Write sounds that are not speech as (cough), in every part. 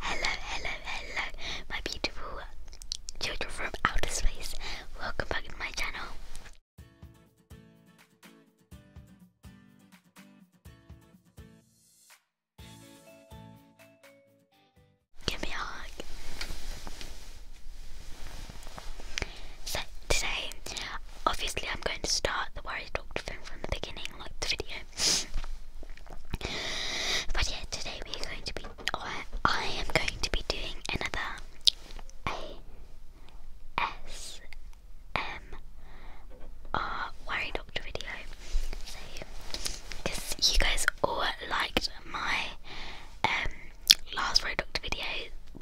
Hello, hello, hello, my beautiful children from outer space. Welcome back to my channel. Give me a hug. So today, obviously, I'm going to start the Worry Doctor film from the beginning, like the video but yeah, today we are going to be, I am going to be doing another ASMR Worry Doctor video. So, because you guys all liked my um, last Worry Doctor video,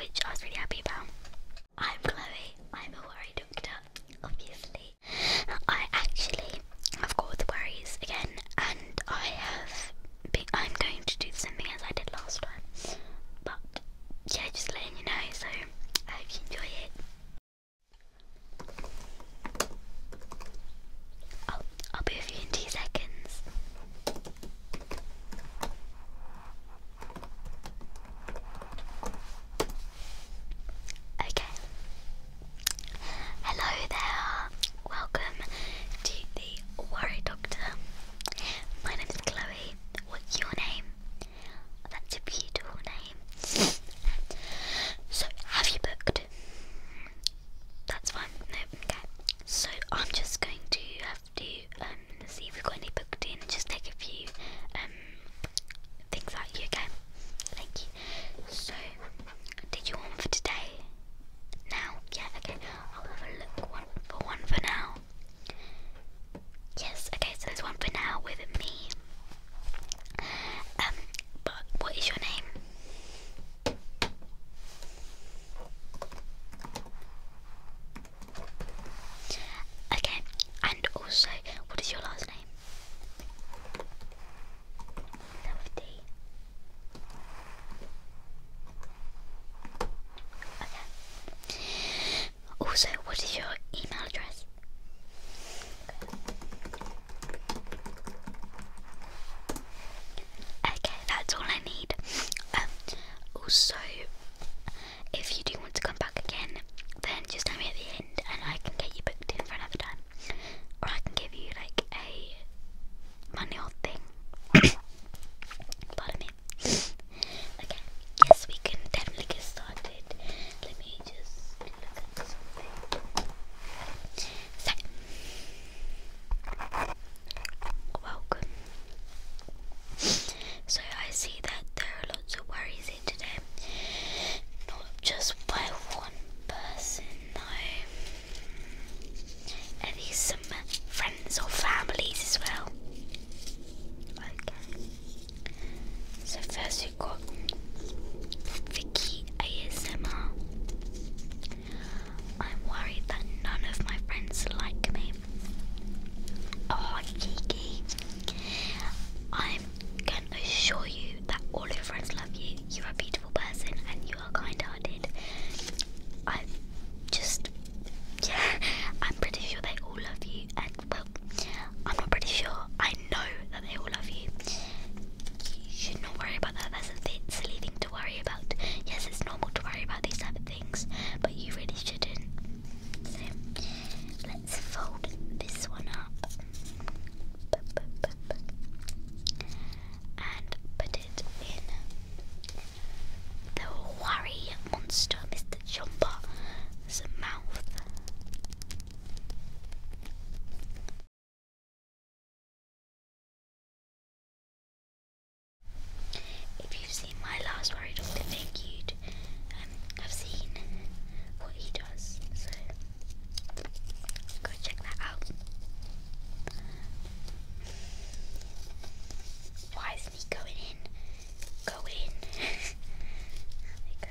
which I was really happy about. I'm Chloe, I'm a Worry Doctor, obviously. I actually have got the worries again, and I have. Been, I'm going to do the same thing as I did last time, but yeah, just letting you know. So I hope you enjoy it. Oh, I'll be with you in two seconds. Okay. Hello there. Welcome to the Worry Doctor. My name is Chloe. What's your name? That's a beautiful name. so, have you booked? That's fine. No, okay. So, I'm just going to have to um, see if we've got any booked in just take a few um, things out you again. Thank you. So, did you want for today? Now? Yeah, okay. I'll have a look one for one for now. Yes, okay, so there's one for now with me. Um, but what is your name? Okay, and also, what is your last name? Lefty. Okay. Also, what is your email address? Okay, that's all I need. Um, also, if you do want to come back again, then just tell me at the and I can get you booked in for another time. Or I can give you like a manual thing. (coughs) Pardon me. (coughs) Okay, yes, we can definitely get started. Let me just look at something. So, welcome. So, I see that there are lots of worries in today. Not just by one person, though. Are some friends or families as well? Okay. So first got Vicky ASMR. I'm worried that none of my friends like me. Oh, Kiki. I'm gonna assure you that all your friends love you, you're a beautiful person, and you are kind hearted. I just, yeah, I'm pretty sure they all love you, and well, I'm not pretty sure, I know that they all love you. You should not worry about that, that's a silly thing to worry about. Yes, it's normal to worry about these type of things, but you really shouldn't. let's fold this one up and put it in the worry monster, Mr. Jumper's mouth. If you've seen my last worry doctor, I think you'd um, have seen what he does. So go check that out. Why isn't he going in? Go in. (laughs) there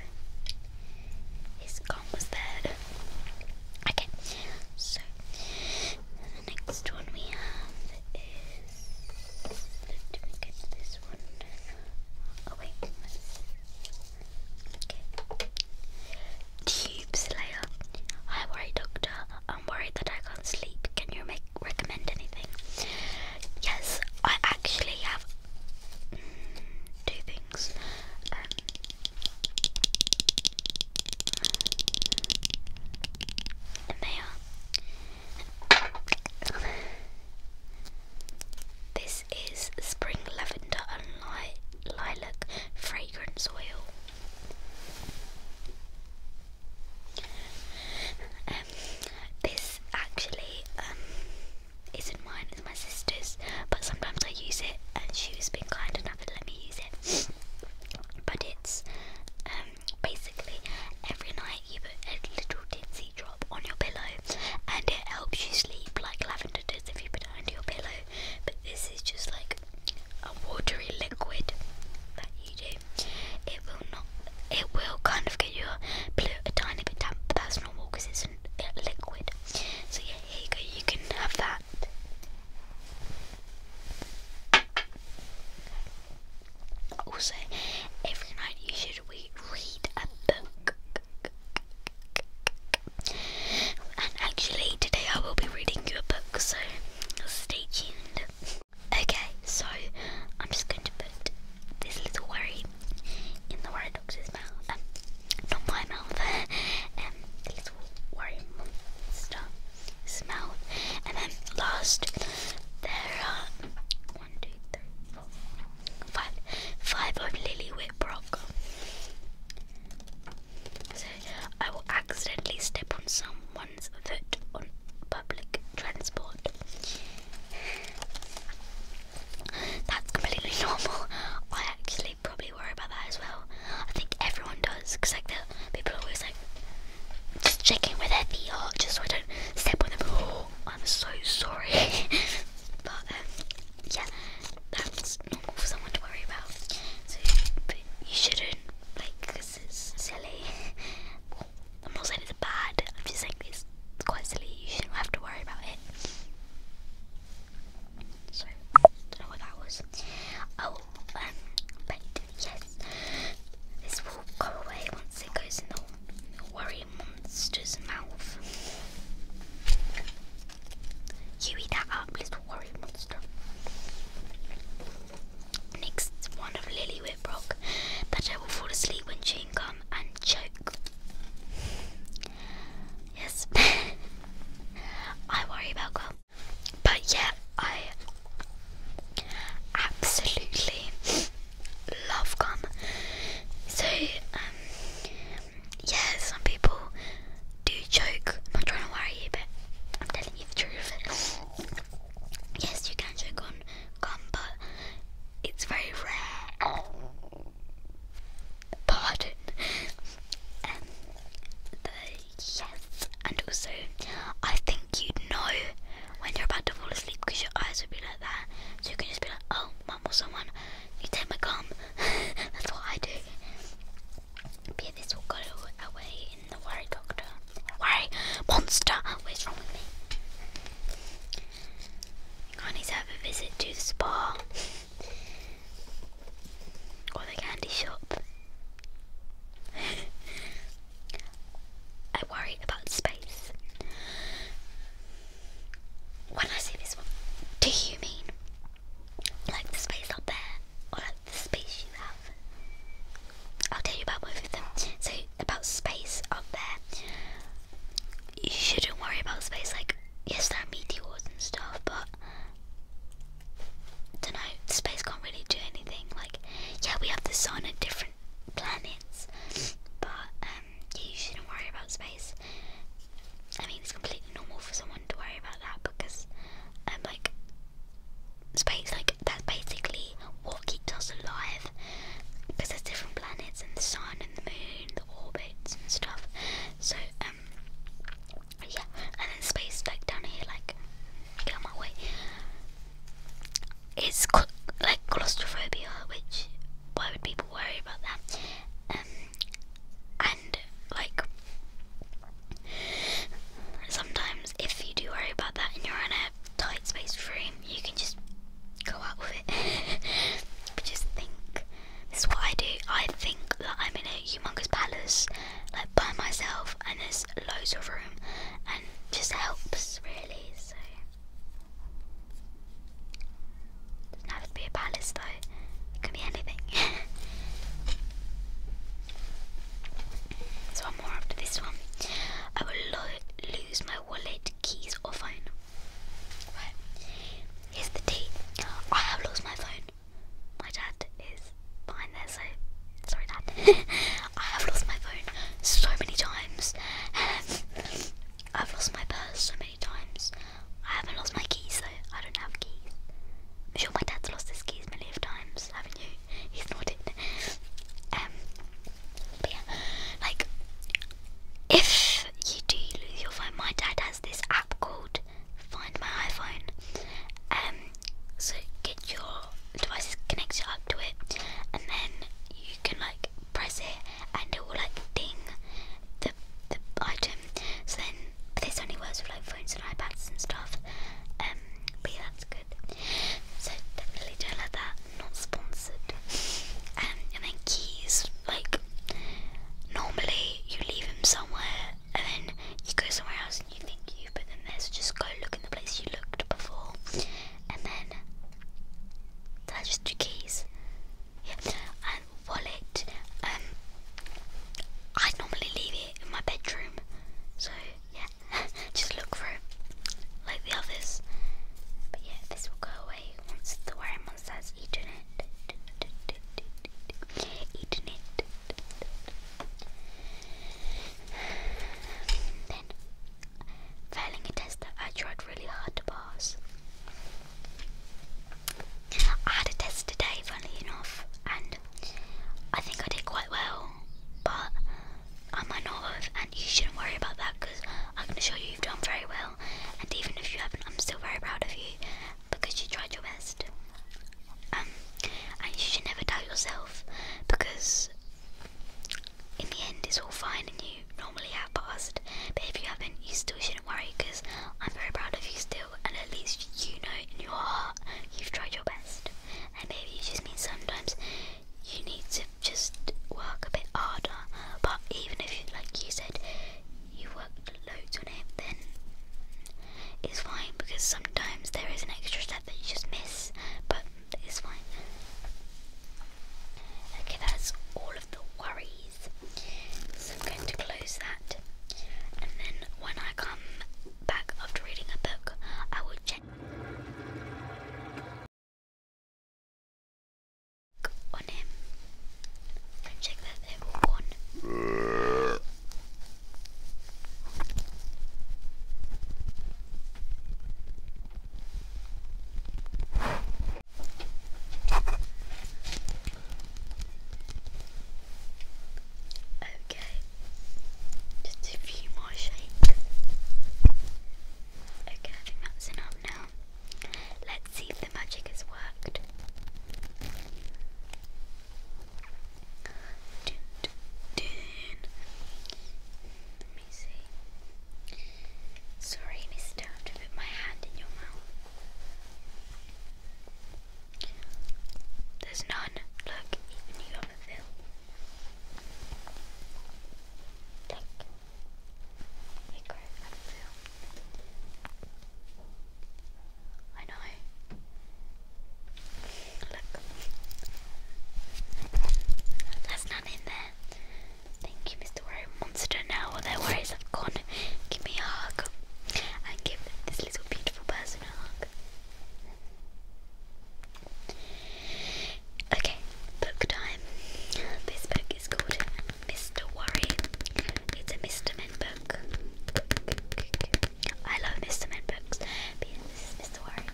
you go. His gun was there. Okay, so the next one we have is. Did we get this one? Oh wait, Tube Slayer. Hi, worry doctor. I'm worried that I can't sleep. Can you make recommend anything? Yes, I actually have mm, two things. Um, and um, This is Spring Lavender and li Lilac Fragrance Oil. Um, this actually um, isn't mine, it's my sister's, but sometimes I use it and she's been kind enough to let me use it. But it's um, basically every night you put a little tinsy drop on your pillow and it helps you sleep like lavender it is if you put it under your pillow, but this is just like a watery liquid that you do. It will not, it will kind of get your pillow a tiny bit damp, but that's normal because it's a liquid. So yeah, here you go, you can have that. Also, every night you should read a book. And actually, today I will be reading you a book, so stay tuned. Okay, so I'm just going to put this little worry in the worry doctor's mouth. Um, not my mouth. (laughs) um, the little worry monster mouth. And then last, there are one, two, three, four, five, five of Lily Whitbrock. I will accidentally step on someone's foot on public transport. That's completely (laughs) normal. I actually probably worry about that as well. I think everyone does, because like the people are always like just checking where their feet are, just so I don't step on them. (gasps) I'm so sorry. (laughs) but um, yeah, that's normal for someone to worry about. So, you shouldn't, like, it's silly. I'm not saying it's bad, I'm just saying it's quite silly. You shouldn't have to worry about it. So, don't know what that was. Oh, um, but yes, this will go away once it goes in the worry monster's mouth. You eat that up, little worry monster. Next one of Lily Whitbrock. That I will fall asleep when chewing gum and choke. Yes. (laughs) I worry about gum. But yeah, I absolutely love gum. So, um, Yes, some people do joke. I'm not trying to worry you, but I'm telling you the truth. yes, you can joke on gum, but it's very rare. Pardon. Um, yes, and also, I think you'd know when you're about to fall asleep because your eyes would be like that, so you can just be like, "Oh my or someone, you take my gum. (laughs) That's what I do. this will go away in the worry doctor. Worry monster. What's wrong with me? I need to have a visit to the spa (laughs) or the candy shop. (laughs) I worry about space when I say this one, do you mean like the space up there or like the space you have? I'll tell you about both of them. So about space up there, you shouldn't worry about space. Like yes, there are meteors and stuff, but don't know. Space can't really do anything. Like yeah, we have the sun and different planets, but. Yeah, um, you shouldn't worry about space. I mean, it's completely normal for someone to worry about that because, um, like, space, like, that's basically what keeps us alive. Because there's different planets and the sun and the moon, the orbits and stuff. So, um, yeah, and then space, like, down here, like, get my way. It's like claustrophobia, which why would people worry about that? Um, I like sometimes if you do worry about that and you're tight space room, you can just go out with it. (laughs) but just think, this what I do. I think that I'm in a humongous palace, like by myself, and there's loads of room, and just helps really. So it Doesn't have to be a palace though. It can be anything. (laughs) so one more after this one. I will lo lose my wallet, keys, or phone. Here's the tea. I have lost my phone. My dad is behind there, so sorry, dad. (laughs) I have lost my phone so many times. (laughs) I've lost my purse so many times. I haven't lost my keys so I don't have keys. I'm sure my dad's lost his keys many million times, haven't you? (laughs) He's nodded. Um, but yeah, like if you do lose your phone, my dad has this app called Find My iPhone. Um, so get your devices connected up to it, and then you can like press it, and it will like ding the the item. So then this only works with like phones and iPads and stuff. Um, but that's good. So definitely don't that not sponsored. Um, and then keys, like normally you leave them somewhere and then you go somewhere else and you think you have put them there, so just go look in the place you looked before. And then that's just do keys? Yeah wallet. Um, I normally leave it in my bedroom, so yeah, (laughs) just look for like the others. But yeah, this will go away once the wearing monster has it. Eaten it. Then, failing a test that I tried really hard to pass. I had a test today, funnily enough, and I think I did quite well, but I might not have, and you shouldn't worry about that because I can assure you you've done very well, and even if you haven't, I'm still very proud of you because you tried your best. Um, and you should never doubt yourself because in the end it's all fine and you normally have passed, but if you haven't, you still should shouldn't worry because I'm very proud of you still, and at least you know in your heart you've tried your best. And maybe it just means sometimes you need to just work a bit harder. But even if, you, like you said, you worked loads on it, then it's fine because sometimes there is an extra step that you just miss, but it's fine. Okay, that's all of the worry so I'm going to close that, and then when I come back after reading a book, I will check on him and check that they're all gone. Okay, just a few more shakes. Okay, I think that's enough now. Let's see if the magic has worked. Let me see. Sorry, mister, to put my hand in your mouth. There's none. Look, even you have a fill. Take. you I know. Look. There's none in there. Thank you, Mr. Worm wants to their worries have gone, give me a hug and give this little beautiful person a hug. Okay, book time. This book is called Mr. Worry. It's a Mr. Men book. I love Mr. Men books, but this is Mr. Worry.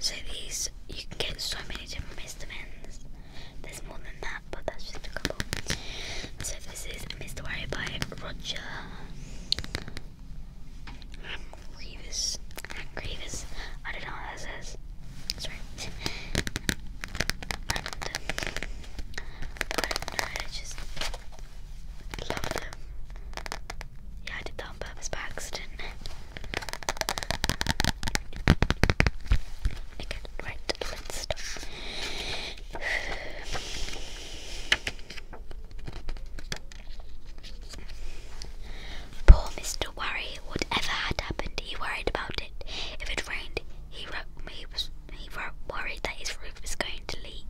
So these you can get so many different vitamins. There's more than that, but that's just a couple. So this is Mr. Wario by Roger I'm Grievous. I'm Grievous. I don't know what that says. Sorry. I don't know, I just love them. Yeah, I did that on purpose by accident. Okay, right, let's stop. Poor Mr. Worry, whatever had happened, he worried about it. If it rained, he, he was he worried that his roof was going to leak.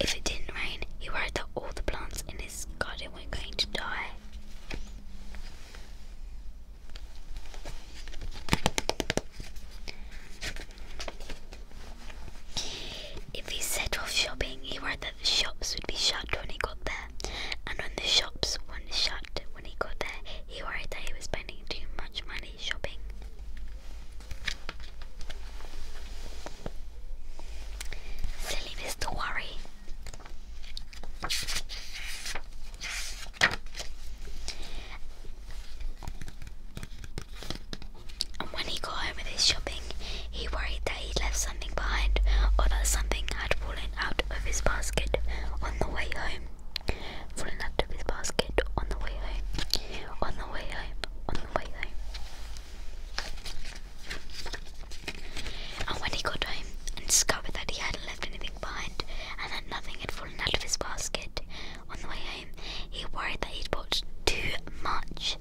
If it didn't rain, he worried that all the plants in his garden were going to die. If he set off shopping, he worried that the shops would be shut when he got there, and when the shops weren't shut when he got there, he worried that he was spending too much money shopping. Silly Mr. Worry. And when he got home with his shopping, he worried that he'd left something behind or that something had fallen out of his basket on the way home. Fallen out of his basket on the way home. On the way home. On the way home. And when he got home and discovered that he hadn't left anything behind and that nothing had fallen out of his basket on the way home. He worried that he'd bought too much,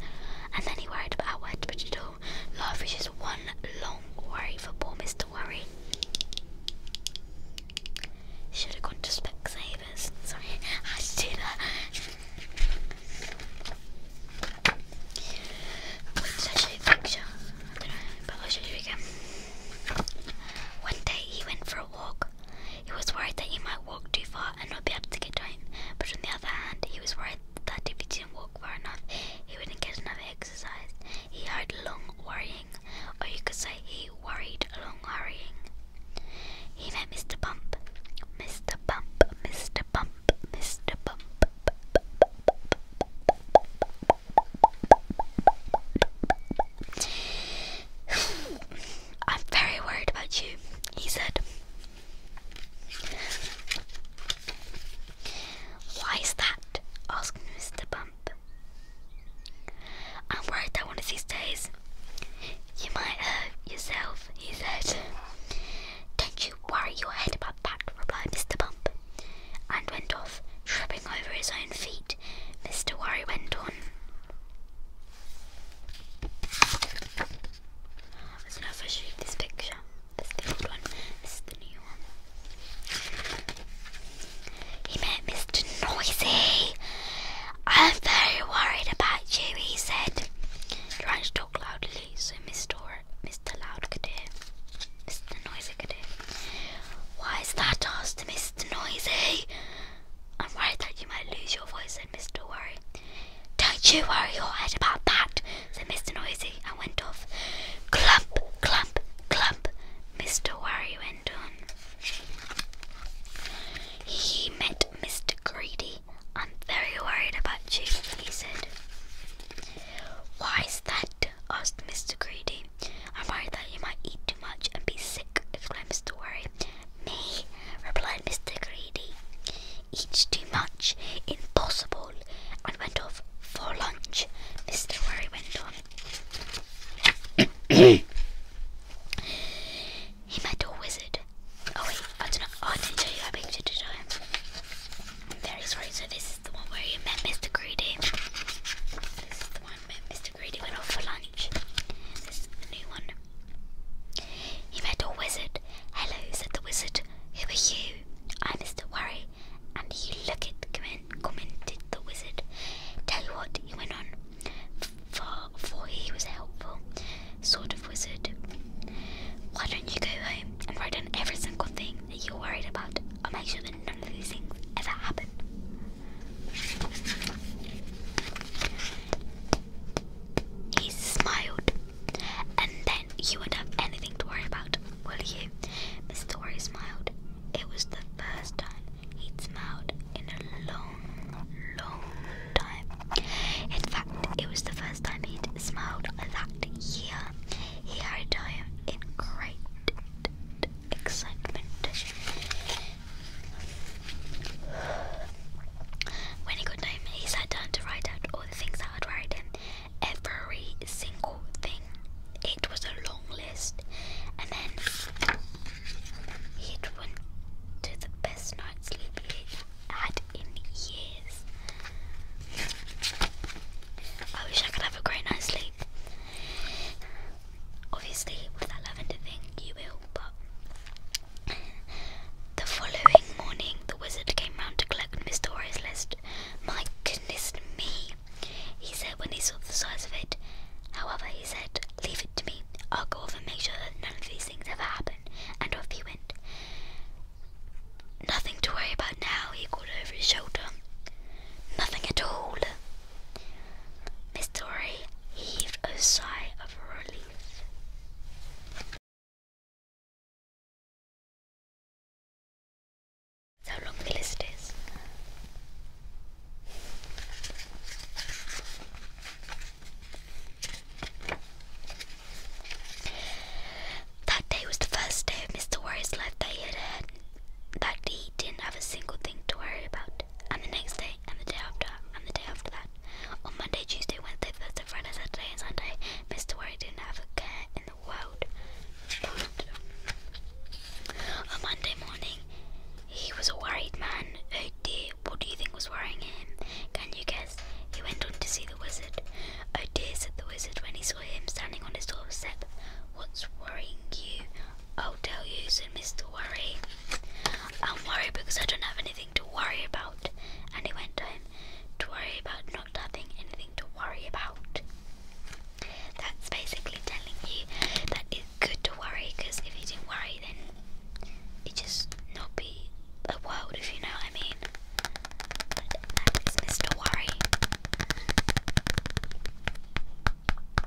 and then he worried about where to put it all. Life is just one long worry for poor Mr. Worry. Should have gone to Specsavers. Sorry, I had to do a picture? but I'll show you again. One day he went for a walk. He was worried that he might walk too far and not be able to get home, but on the other hand, he was worried that if he didn't walk far enough, he wouldn't get enough exercise. He hurried along worrying, or you could say he worried along hurrying. He met Mr. Bump. Mr. Bump, Mr. Bump, Mr. Bump. I'm very worried about you, he said. Why is that? asked Mr. Bump. I'm worried about one of these days you might hurt yourself, he said. Don't you worry your head about that, replied Mr. Bump and went off, tripping over his own feet. Mr. Worry went on. I don't know if I should this picture. This is the old one. This is the new one. He met Mr. Noisy. I'm very worried about you, he said, trying to talk loudly so Mr. Mr. Loud could hear. Mr. Noisy could hear. Why is that? asked Mr. Mr. noisy. I'm worried that you might lose your voice, said Mr. Worry. Don't you worry your head about that, said Mr. Noisy, and went off. Clump, clump, clump, Mr. Worry went on. He met Mr. Greedy. I'm very worried about you, he said. Why is that? asked Mr. Greedy. I'm worried that you might eat too much and be sick, exclaimed Mr. Worry. Me, replied Mr. Greedy. Eat too much? Impossible! And went off for lunch, Mr. Worry went on. (coughs) he met a wizard. Oh wait, I don't know. Oh, I didn't show you that picture, did I? I'm very sorry. So this is the one where you met Mr. Greedy. This is the one met Mr. Greedy went off for lunch. This is a new one. He met a wizard. Hello, said the wizard. Who are you? I'm Mr. Worry. And you look it, commented the wizard. Tell you what, he went on, for, for he was a helpful sort of wizard. Why don't you go home and write down every single thing that you're worried about? I'll make sure that none of these things ever happen. He smiled, and then you wouldn't have anything to worry about, will you? Mr. Dory smiled. It was the first time he'd smiled in a long, long time. In fact, it was the first time he'd smiled that year. He had home in great excitement. When he got home, he sat down to write out all the things that had worried Every single thing. It was a long list. And then he went to the best night's sleep he had in years. I wish I could have a great night's sleep. Obviously, with that lavender thing, you will, but. the following morning, the wizard came round to collect Miss Dora's list. My goodness me, he said when he saw the size of it. However, he said, Leave it to me. I'll go over and make sure that none of these things ever happen. And off he went. Nothing to worry about now, he called over his shoulder. Nothing at all. Mr. Dory heaved a sigh of relief. How long the list is. That day was the first day of Mr. Warrior's life that he that day he didn't have a single thing to worry about. And the next day, and the day after, and the day after that. On Monday, Tuesday, Wednesday, Thursday, Friday, Saturday, and Sunday, Mr. Worry didn't have a care in the world. on Monday morning, he was a worried man. Oh dear, what do you think was worrying him? Can you guess? He went on to see the wizard. Oh dear, said the wizard when he saw him standing on his doorstep. What's worrying you? I'll tell you, said Mr. Worry. I'm worried because I don't have anything to worry about. And he went on to worry about not having anything to worry about. That's basically telling you that it's good to worry because if you didn't worry, then it just not be a world, if you know what I mean. that's Mr. Worry.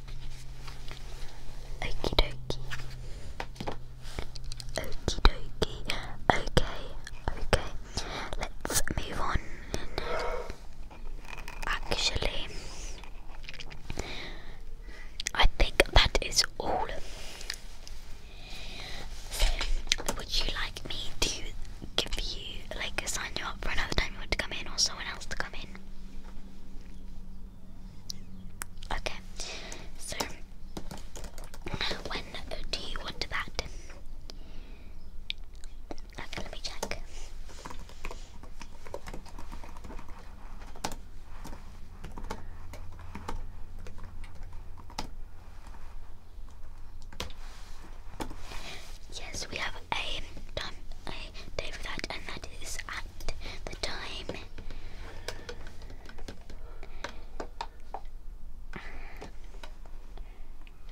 Okie dokie. Okie dokie. Okay, okay. Let's move on. Actually, I think that is all. would you like me to give you, like, sign you up for another time you want to come in, or someone else to come in? Okay, so when do you want to Okay, let me check. Yes, we have a time a day that, and that is at the time.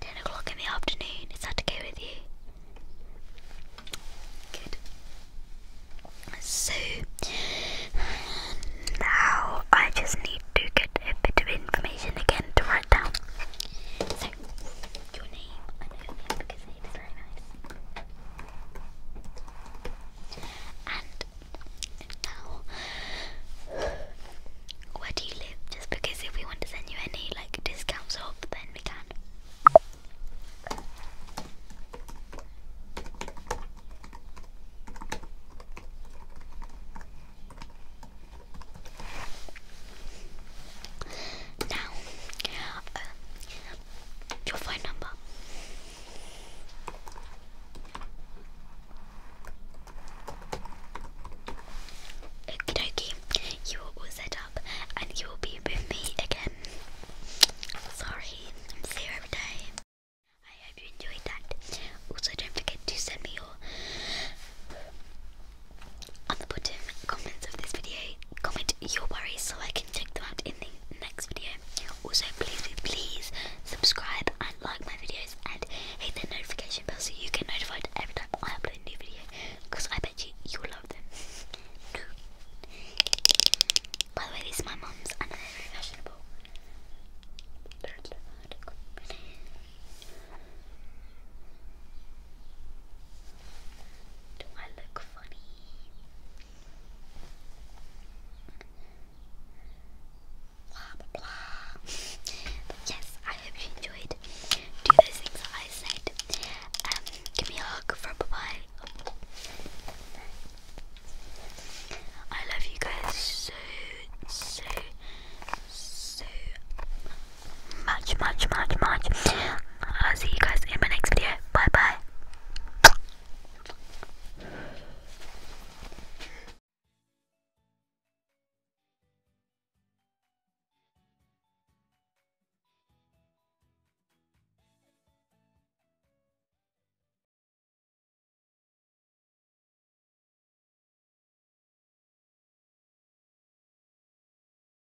Ten o'clock in the afternoon. Is that okay with you? Good. So now I just need to get a bit of information again to write down. your name, and now, where do you live? Just because if we want to send you any like discounts off, then we can. Now, uh, your phone number. Okie you are all set up and you will be with me again. Sorry, I'm here every day. I hope you enjoyed that. Also, don't forget to send me your at the bottom comments of this video, comment your worries so I can check them out in the next video. Also, please, please, subscribe and like my videos and hit the notification bell so you get notified every time I upload a new video because I bet you you will love them. By the way, these are my mum's and they're very fashionable. Do I look funny? Blah blah blah. yes, I hope you enjoyed. Do those things I said. Um, give me a hug for bye bye. I love you guys so so so much, much, much, much. I'll see you guys in my next video. Bye bye.